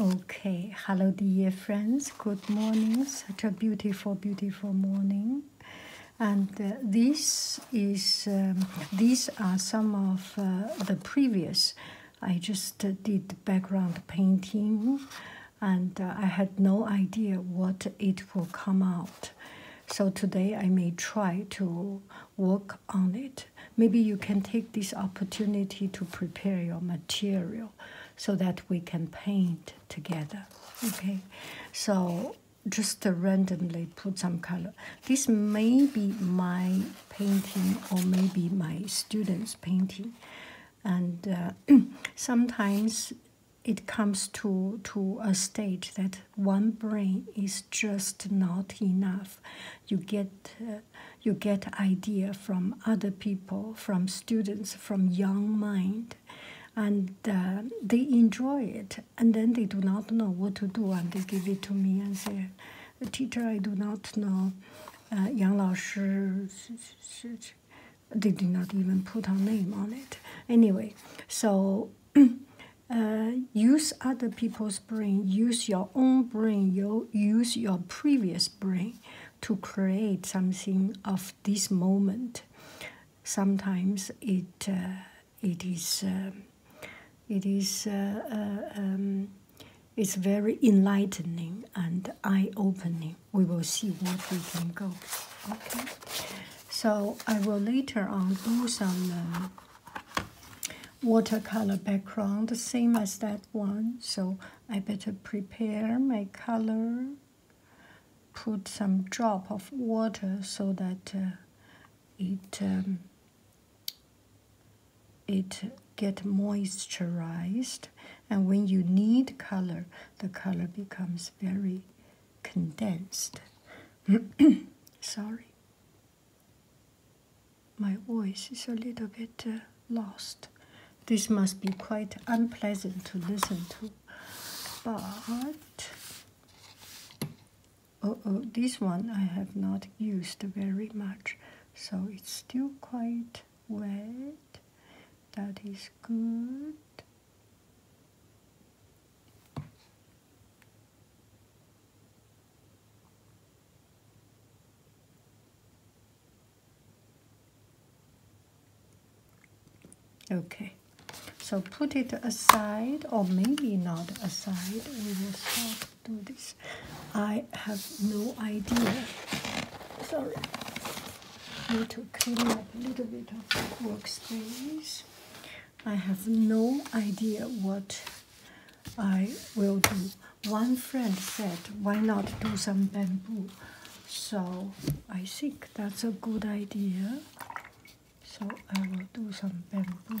Okay, hello, dear friends. Good morning. Such a beautiful, beautiful morning. And uh, this is um, these are some of uh, the previous. I just uh, did background painting, and I had no idea what it will come out. So today I may try to work on it maybe you can take this opportunity to prepare your material so that we can paint together. Okay, so just randomly put some color. This may be my painting or maybe my students' painting, and uh, sometimes it comes to to a stage that one brain is just not enough. You get uh, you get idea from other people, from students, from young mind, and uh, they enjoy it. And then they do not know what to do, and they give it to me and say, "Teacher, I do not know." Uh, Yang they did not even put her name on it. Anyway, so uh, use other people's brain, use your own brain, you use your previous brain to create something of this moment. Sometimes it uh, it is uh, it is uh, um, it's very enlightening and eye-opening. We will see what we can go. Okay, so I will later on do some watercolor background, the same as that one. So I better prepare my color, put some drop of water so that uh, it um, it get moisturized. And when you need color, the color becomes very condensed. Sorry. My voice is a little bit uh, lost. This must be quite unpleasant to listen to. But, oh, oh, this one I have not used very much, so it's still quite wet. That is good. Okay, so put it aside, or maybe not aside. We will start do this. I have no idea. Sorry. Need to clean up a little bit of workspace. I have no idea what I will do one friend said, why not do some bamboo? So I think that's a good idea. So I will do some bamboo.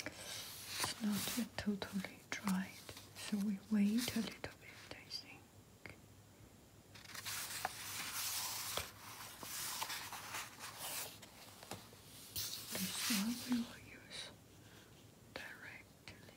It's not yet totally dried, so we wait a little bit, I think. This one we use directly.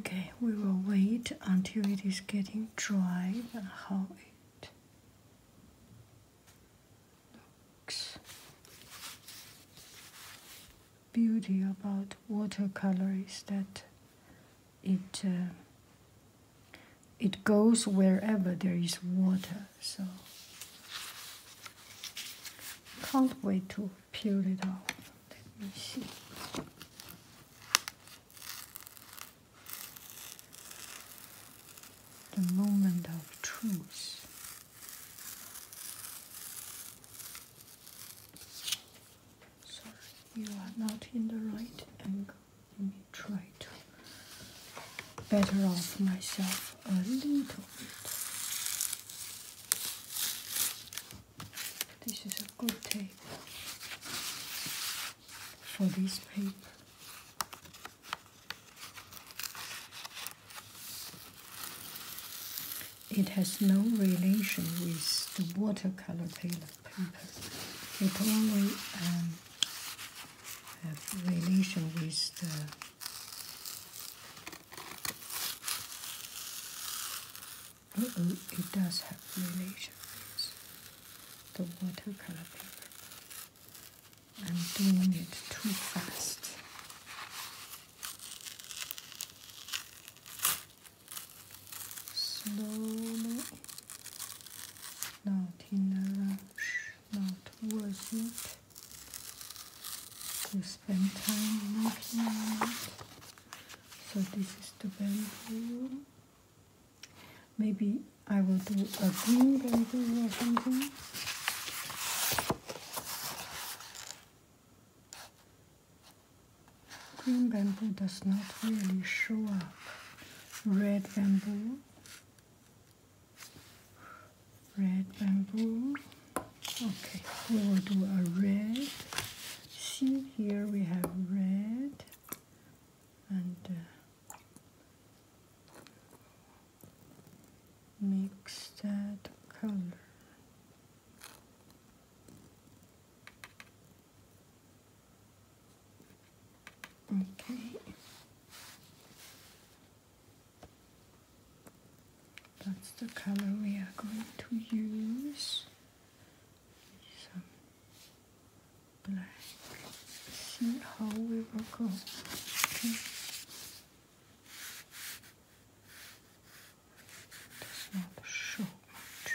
Okay, we will wait until it is getting dry and how it looks. Beauty about watercolor is that it uh, it goes wherever there is water so can't wait to peel it off. Let me see. The moment of truth. Sorry, you are not in the right angle. Let me try to better off myself a little bit. This is a good tape for this paper. It has no relation with the watercolor paper. It only um, has relation with the uh oh, it does have relation with the watercolor paper. I'm doing it too fast. Slowly. Not in a rush, not worth it to spend time working on So this is the bamboo Maybe I will do a green bamboo or something. Green bamboo does not really show up. Red bamboo red bamboo okay we will do a red see here we have red and uh, mix that color Okay, that's the color we are going to use. Some black. See how we will go. Does not show much.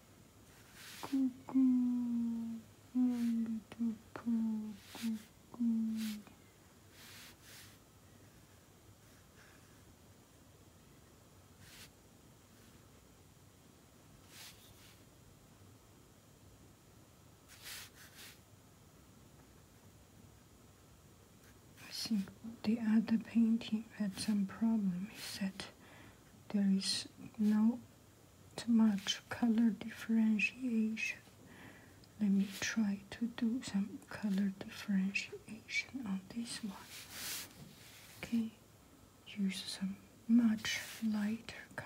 the other painting had some problem He said there is no too much color differentiation. Let me try to do some color differentiation on this one. Okay, use some much lighter color.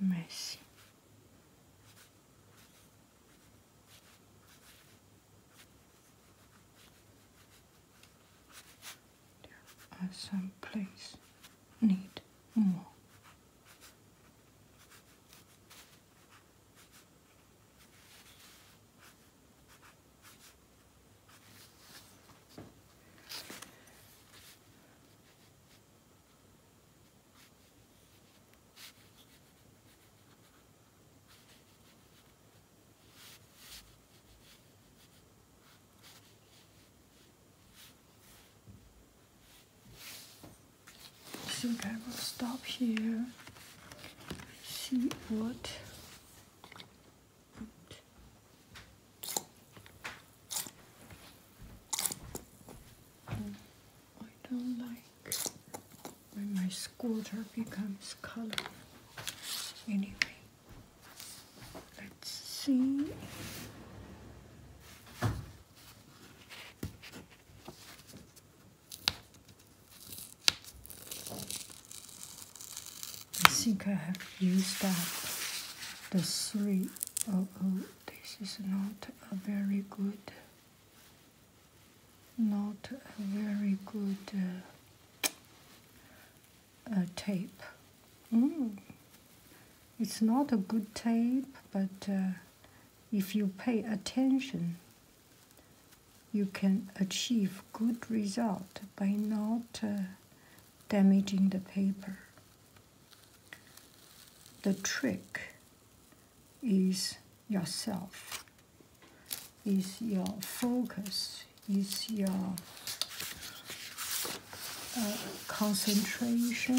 mercy. some places need more. I think I will stop here, see what I don't like when my scooter becomes colorful. Anyway, let's see. I think I have used up the three Oh, oh, this is not a very good, not a very good uh, tape. Mm. It's not a good tape, but uh, if you pay attention, you can achieve good result by not uh, damaging the paper. The trick is yourself, is your focus, is your uh, concentration,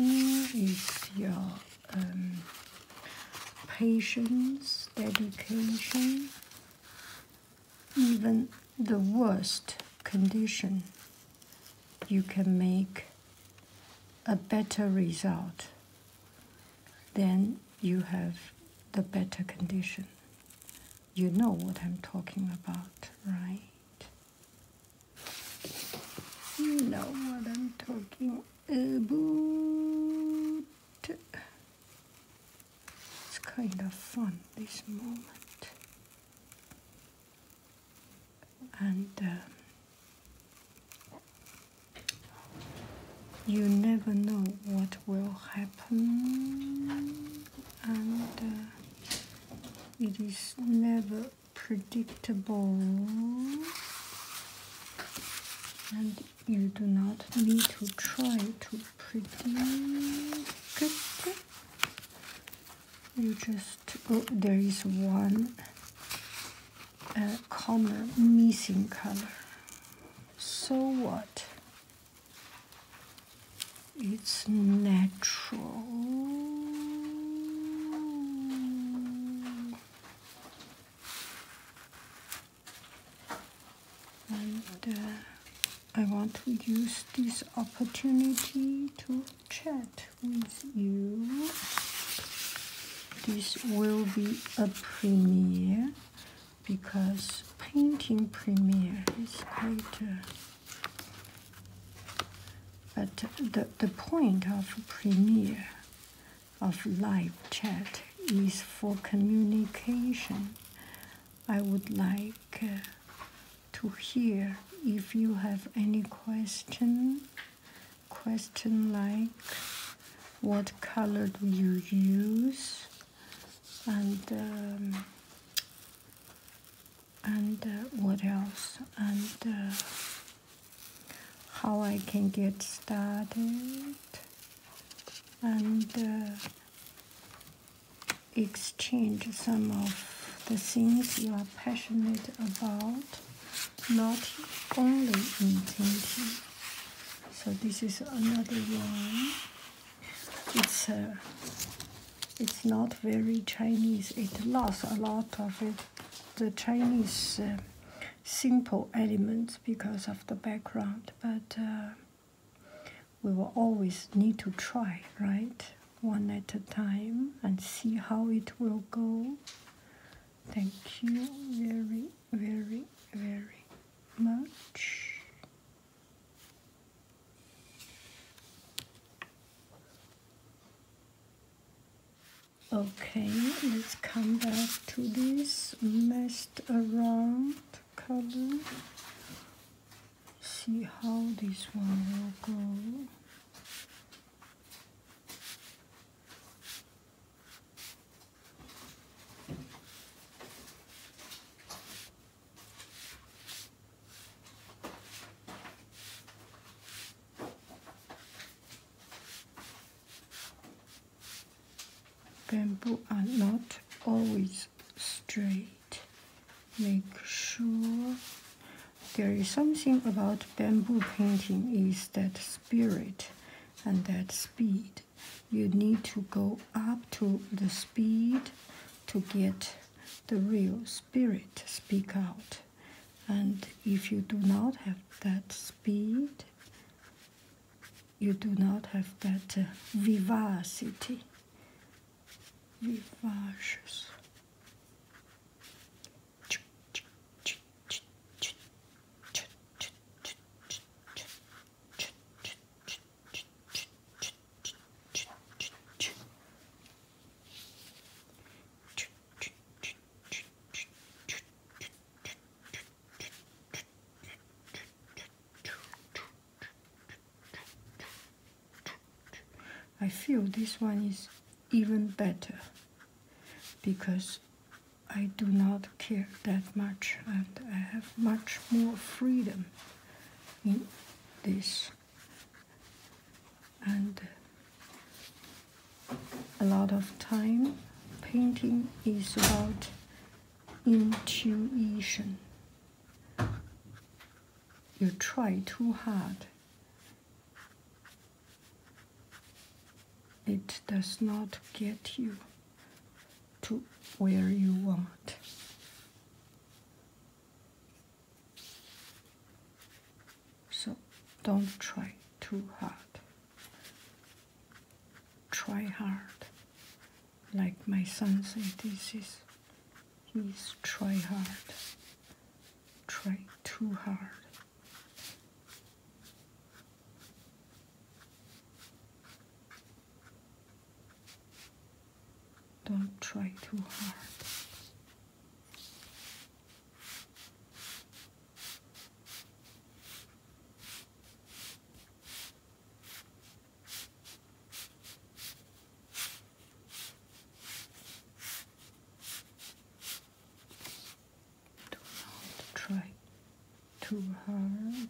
is your um, patience, dedication, even the worst condition, you can make a better result, then you have the better condition. You know what I'm talking about, right? You know what I'm talking about. It's kind of fun, this moment and um, you never know what will happen, and uh, it is never predictable, and you do not need to try to predict you just oh, there is one uh, color missing color so what it's natural and uh, I want to use this opportunity to chat with you. This will be a premiere because painting premiere is quite. but the, the point of premiere of live chat is for communication. I would like uh, to hear if you have any question question like what color do you use and um, and uh, what else and uh, how I can get started and uh, exchange some of the things you are passionate about, not only in painting. So this is another one. It's uh, it's not very Chinese. It lost a lot of it, the Chinese uh, simple elements because of the background, but. Uh, we will always need to try, right? One at a time and see how it will go. Thank you very, very, very much. Okay, let's come back to this messed around color see how this one will go. bamboo are not always straight. Make sure there is something about bamboo painting is that spirit and that speed. You need to go up to the speed to get the real spirit speak out. And if you do not have that speed, you do not have that uh, vivacity vivaches. Ch I feel this one is even better because I do not care that much and I have much more freedom in this and a lot of time painting is about intuition you try too hard, it does not get you to where you want. So don't try too hard. Try hard, like my son said, this is He's try hard, try too hard. Don't try too hard. Do not try too hard.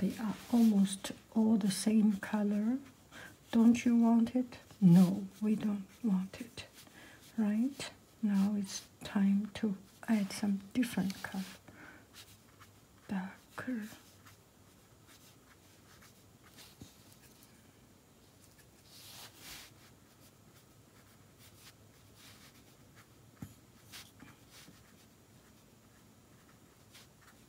They are almost all the same color. Don't you want it? No, we don't want it. Right? Now it's time to add some different color. Darker.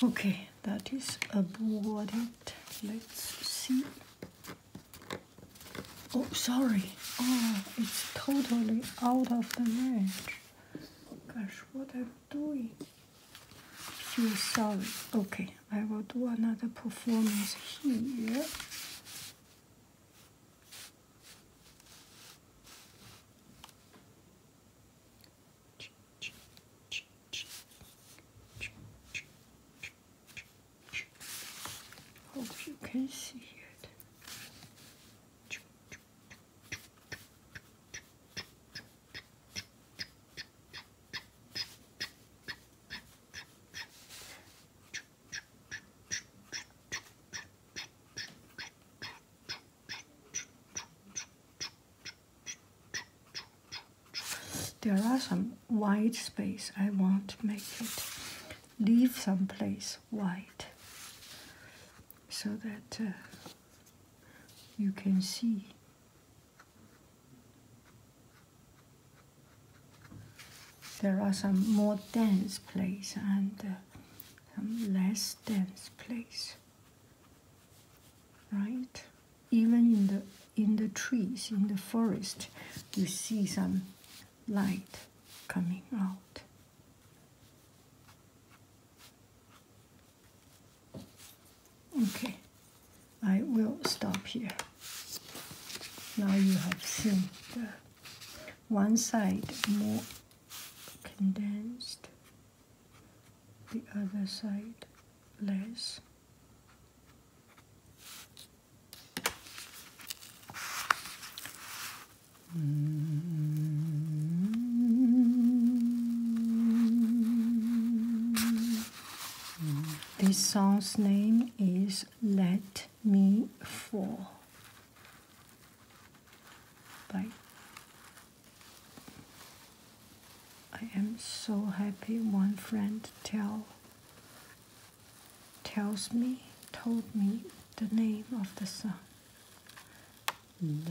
Okay, that is about it. Let's see. Oh, sorry. Oh, it's totally out of the range. Gosh, what I'm doing feel sorry. Okay, I will do another performance here. Hope you can see it. There are some white space. I want to make it leave some place white so that uh, you can see there are some more dense place and uh, some less dense place, right? Even in the in the trees, in the forest, you see some light coming out. Okay, I will stop here. Now you have seen the one side more condensed, the other side less. Mm-hmm. This song's name is Let Me Fall by I am so happy one friend tell tells me told me the name of the song. Let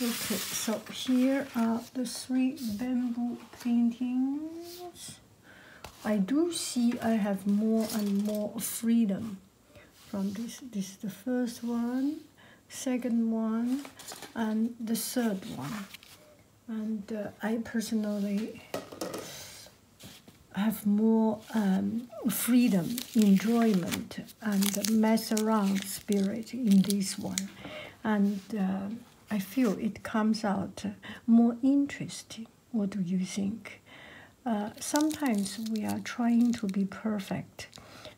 Okay, so here are the three bamboo paintings. I do see I have more and more freedom from this. This is the first one, second one, and the third one. And uh, I personally have more um, freedom, enjoyment, and mess around spirit in this one. And uh, I feel it comes out more interesting. What do you think? Uh, sometimes we are trying to be perfect,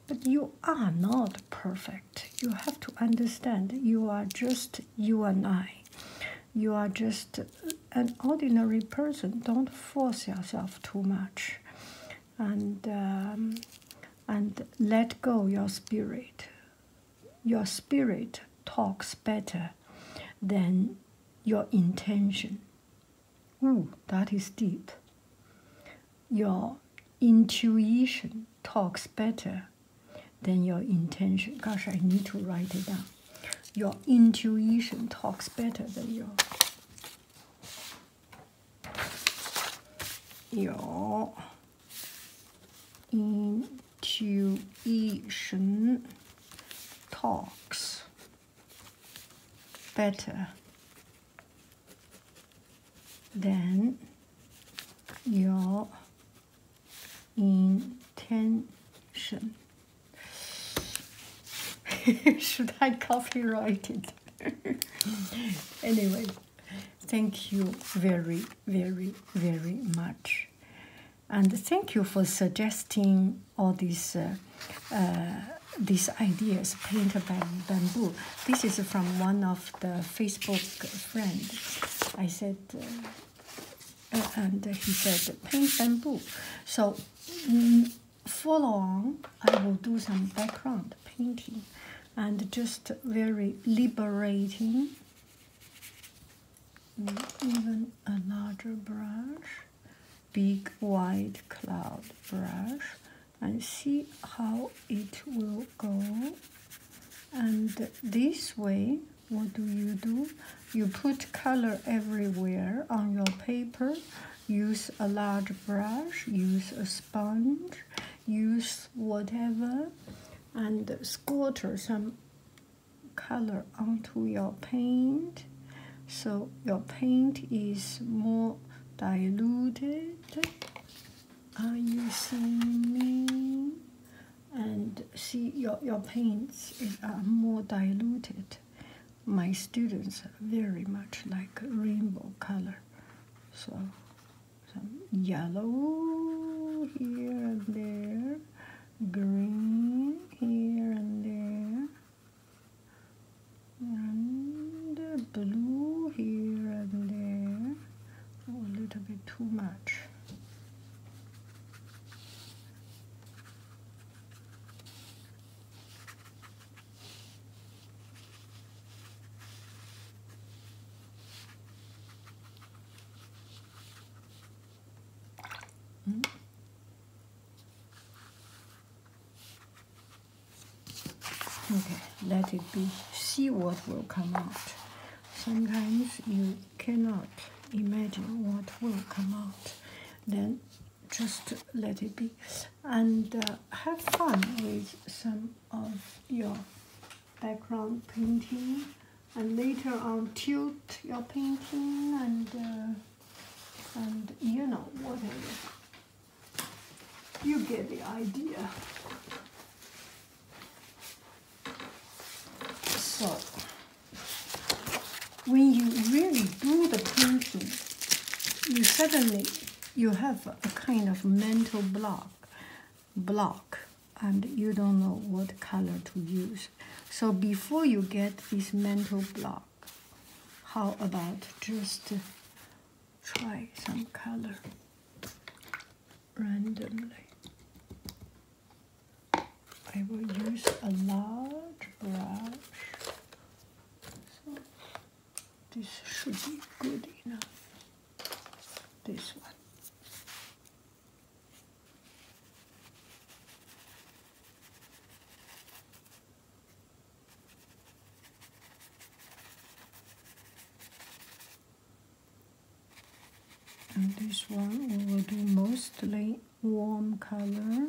but you are not perfect. You have to understand you are just you and I. You are just an ordinary person. Don't force yourself too much, and um, and let go your spirit. Your spirit talks better than your intention. Ooh, hmm. that is deep. Your intuition talks better than your intention. Gosh, I need to write it down. Your intuition talks better than your your in intuition talks better than your intention. Should I copyright it? anyway, thank you very, very, very much and thank you for suggesting all these uh, uh, these ideas painted by bamboo. This is from one of the Facebook friends. I said, uh, and he said, paint bamboo. So mm, follow I will do some background painting, and just very liberating even a larger brush big wide cloud brush and see how it will go and this way what do you do you put color everywhere on your paper use a large brush use a sponge use whatever and scatter some color onto your paint so your paint is more diluted are you seeing me and see your, your paints are more diluted my students very much like rainbow color so some yellow here and there green here and there, and blue here and there. Oh, a little bit too much. Hmm. Okay, let it be. See what will come out. Sometimes you cannot imagine what will come out. Then just let it be and uh, have fun with some of your background painting and later on tilt your painting and uh, and you know whatever you get the idea so when you really do the painting you suddenly you have a kind of mental block block and you don't know what color to use. So before you get this mental block, how about just try some color randomly? I will use a large brush. So this should be good enough. This one. And this one we will do mostly warm color.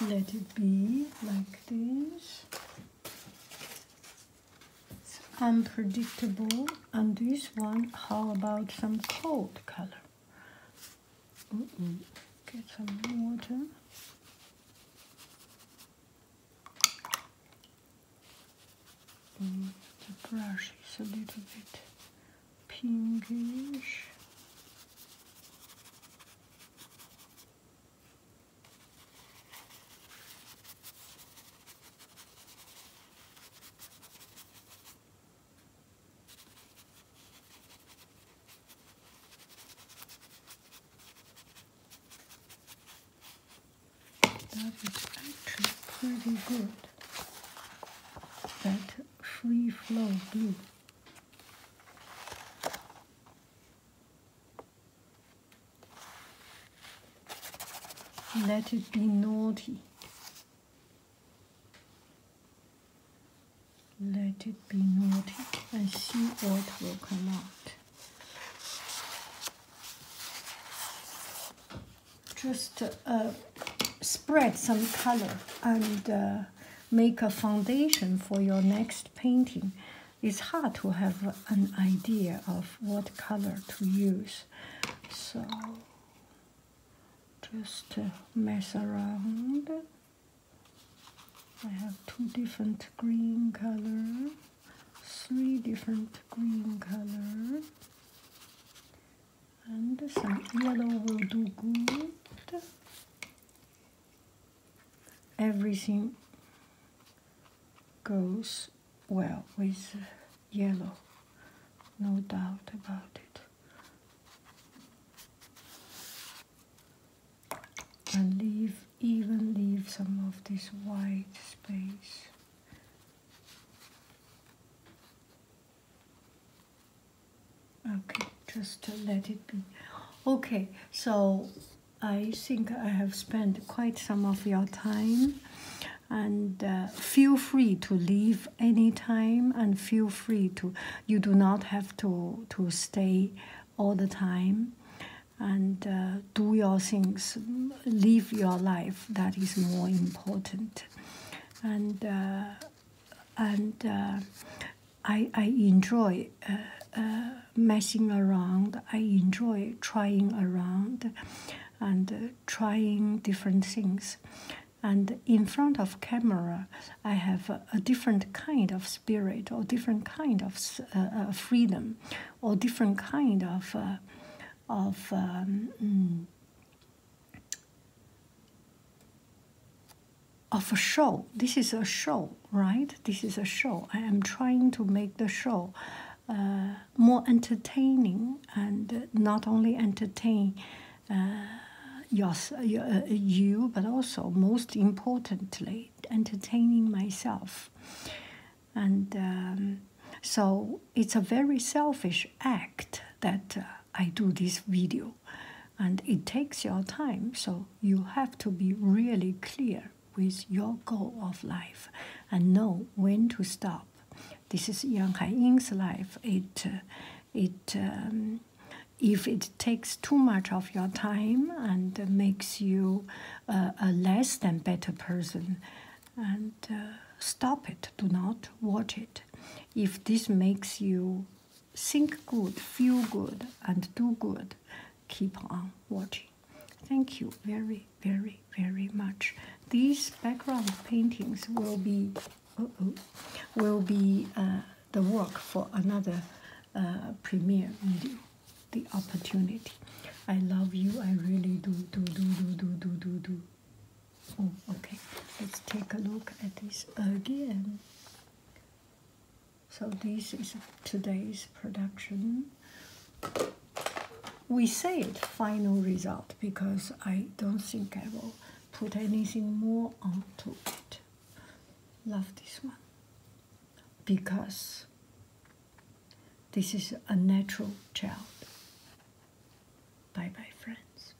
let it be like this it's unpredictable and this one how about some cold color get some water mm, the brush is a little bit pinkish that is actually pretty good. That free flow blue. Let it be naughty. Let it be naughty and see what will come out. Just uh, spread some color and uh, make a foundation for your next painting, it's hard to have an idea of what color to use. So just uh, mess around. I have two different green color, three different green color, and some yellow will do good everything goes well with yellow, no doubt about it. And leave, even leave some of this white space. Okay, just to let it be. Okay, so I think I have spent quite some of your time, and uh, feel free to leave any time, and feel free to. You do not have to to stay all the time, and uh, do your things. Live your life. That is more important, and. Uh, and uh, I, I enjoy uh, uh, messing around. I enjoy trying around and trying different things. And in front of camera, I have a, different kind of spirit, or different kind of freedom, or different kind of of um, mm, of a show. This is a show, right? This is a show. I am trying to make the show uh, more entertaining and uh, not only entertain uh, your, uh, you, but also, most importantly, entertaining myself. And um, so it's a very selfish act that. I do this video. And it takes your time, so you have to be really clear with your goal of life and know when to stop. This is Yang Hae Ying's life. It, uh, it, um, if it takes too much of your time and makes you uh, a less than better person, and uh, stop it. Do not watch it. If this makes you think good, feel good, and do good. Keep on watching. Thank you very, very, very much. These background paintings will be, -oh, will be uh, the work for another uh, premiere video. The opportunity. I love you. I really do, do, do, do, do, do, do, do. Oh, okay. Let's take a look at this again. So this is today's production. We say it final result because I don't think I will put anything more onto it. Love this one because this is a natural child. Bye bye, friends.